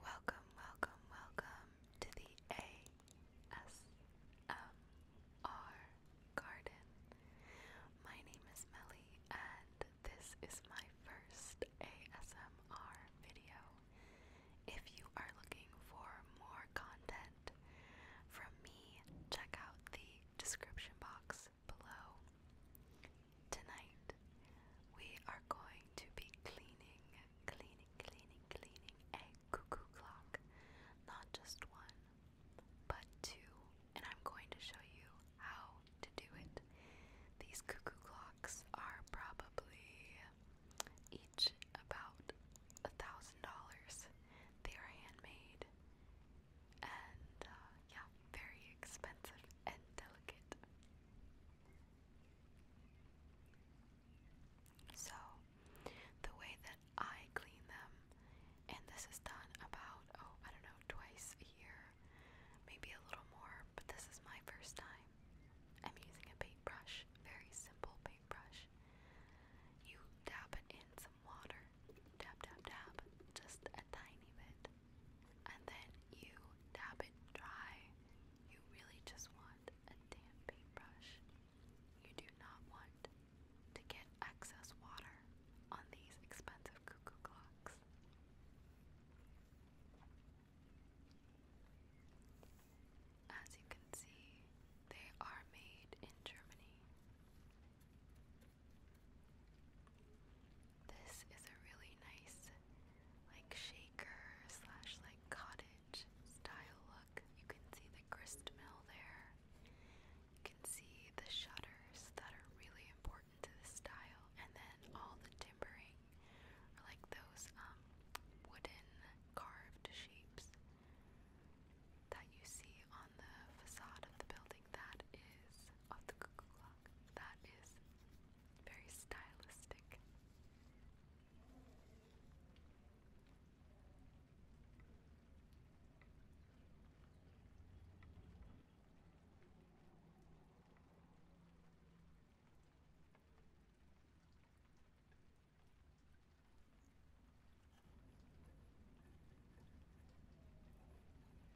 Welcome, welcome, welcome to the ASMR Garden. My name is Melly, and this is my first ASMR video. If you are looking for more content from me, check out the description box below. Tonight we are going to be cleaning, cleaning, cleaning, cleaning a cuckoo clock. Not just one, but two. And I'm going to show you how to do it. These cuckoo clocks are probably each about a thousand dollars. They are handmade and uh, yeah, very expensive and delicate. So, the way that I clean them, and this is done about, oh, I don't know, twice a year, maybe a little more, but this is my first time. I'm using a paintbrush, very simple paintbrush. You dab it in some water, dab, dab, dab, just a tiny bit, and then you dab it dry. You really just want a damp paintbrush. You do not want to get excess water on these expensive cuckoo clocks. As you can see, they are made in Germany. This is a really nice, like shaker slash like cottage style look. You can see the grist mill there. You can see the shutters that are really important to the style, and then all the timbering, or like those um, wooden carved shapes that you see on the facade of the building. That is of the cuckoo clock. That is very stylistic.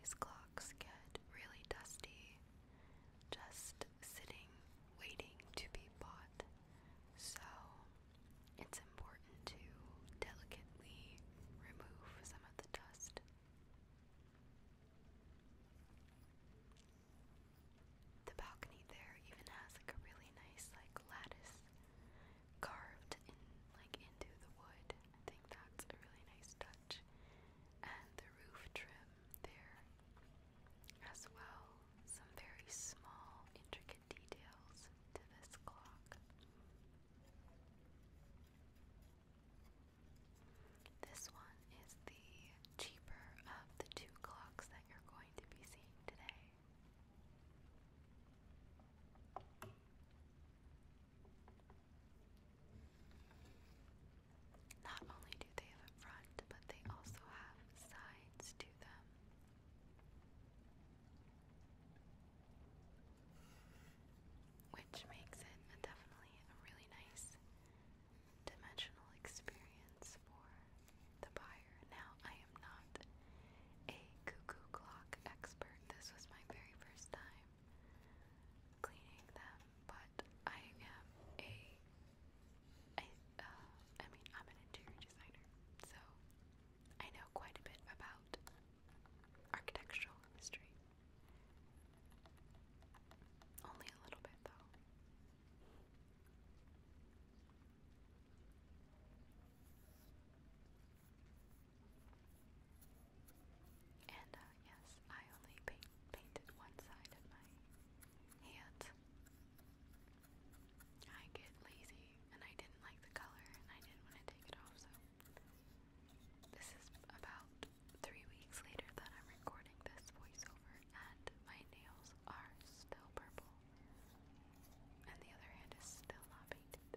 These clocks get really dusty just sitting, waiting to be bought. So it's important to delicately remove some of the dust. The balcony there even has like a really nice like lattice carved like into the wood. I think that's a really nice touch. And the roof trim there as well. Some very small, intricate details to this clock. This one is the cheaper of the two clocks you're going to be seeing today. Not only do they have a front, but they also have sides to them. Which makes it a definitely a really nice dimensional experience for the buyer. Now, I am not a cuckoo clock expert. This was my very first time cleaning them, but I am a uh, I, mean, I'm an interior designer, so I know quite a bit about architectural history. Only a little bit, though. And uh, yes, I only painted one side of my hand. I get lazy and I didn't like the color and I didn't want to take it off, so this is about three weeks later that I'm recording this voiceover and my nails are still purple. And the other hand is still not painted.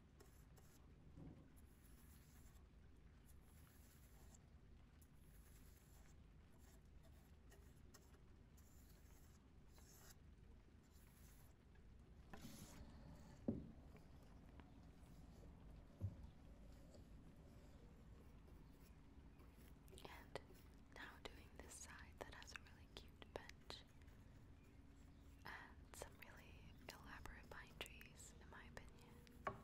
And now doing this side that has a really cute bench lush and some really elaborate pine trees, in my opinion.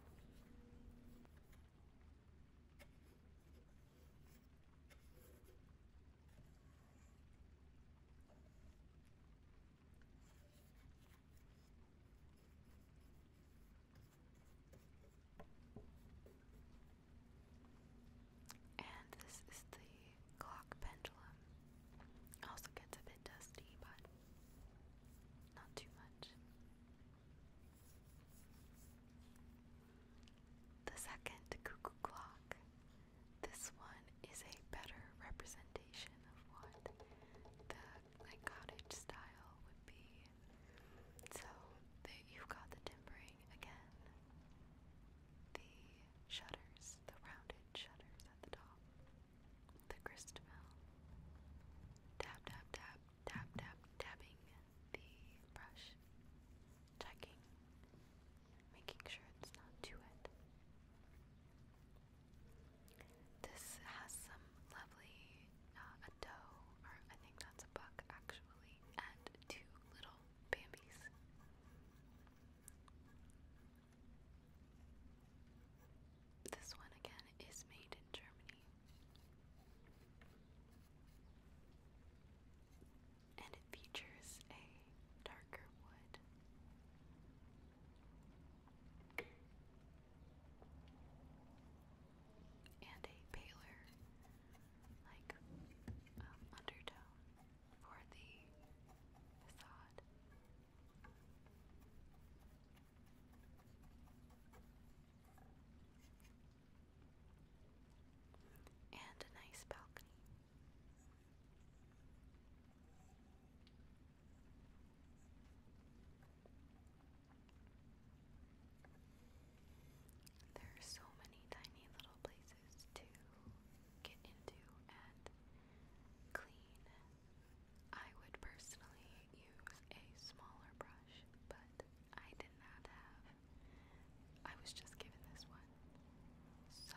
And this is the clock pendulum. Also gets a bit dusty, but not too much. The second cuckoo clock. This one is a better representation of what the cottage style would be. So you've got the timbering again. The shutters, the rounded shutters at the top the Christabel. Dab, dab, dab, dab, dab, dabbing the brush. Checking, making sure it's not too wet. This has some lovely, uh, a doe, or I think that's a buck actually, and two little bambies. This one again is made in Germany. And it features a darker wood and a paler, like, um, undertone for the facade. And a nice balcony. There are so many tiny little places to get into and clean. I would personally use a smaller brush, but I did not have. I was just given this one. So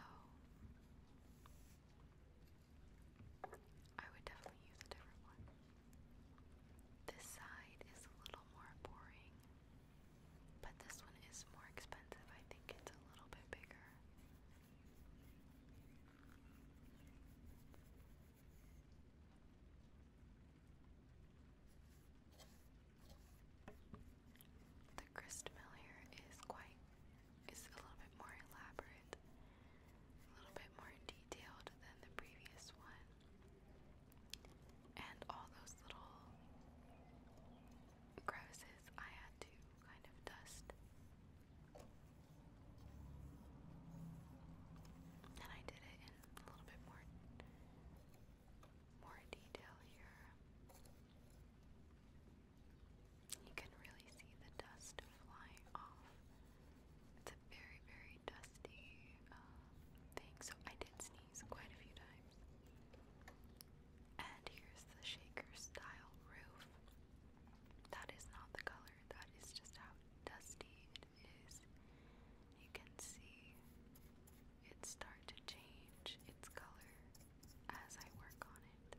I would definitely use a different one. This side is a little more boring, but this one is more expensive. I think it's a little bit bigger. The grist here is quite is a little bit more elaborate, a little bit more detailed than the previous one. And all those little crevices I had to kind of dust. And I did it in a little bit more more detail here. You can really see the dust flying off. It's a very, very dusty uh, thing, so I did sneeze quite a few times. And here's the shaker style roof. That is not the color, that is just how dusty it is. You can see it start to change its color as I work on it.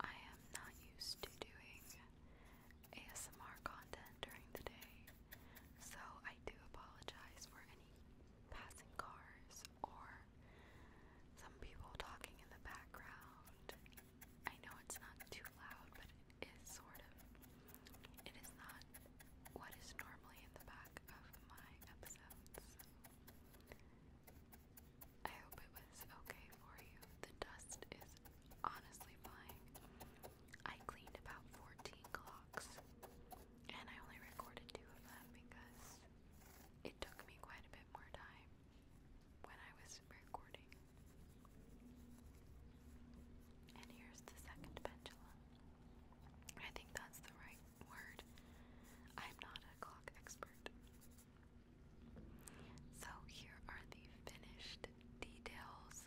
I am not used to doing ASMR content during the day, so I do apologize for any passing cars or some people talking in the background. I know it's not too loud, but it's sort of, it is not what is normally in the back of my episodes. I hope it was okay for you. The dust is honestly fine. I cleaned about 14 clocks and I only recorded two of them because it took me quite a bit more time when I was recording and here's the second pendulum. I think that's the right word. I'm not a clock expert. So here are the finished details.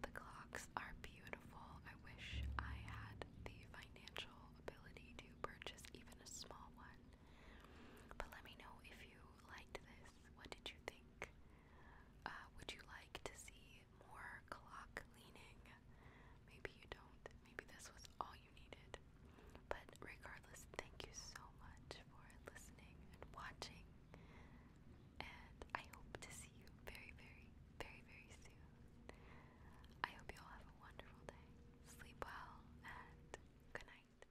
The clocks are beautiful. I wish I had the financial ability to purchase even a small one. But let me know if you liked this. What did you think? Uh, would you like to see more clock leaning? Maybe you don't. Maybe this was all you needed. But regardless, thank you so much for listening and watching. And I hope to see you very, very, very, very soon. I hope you all have a wonderful day. Sleep well and good night.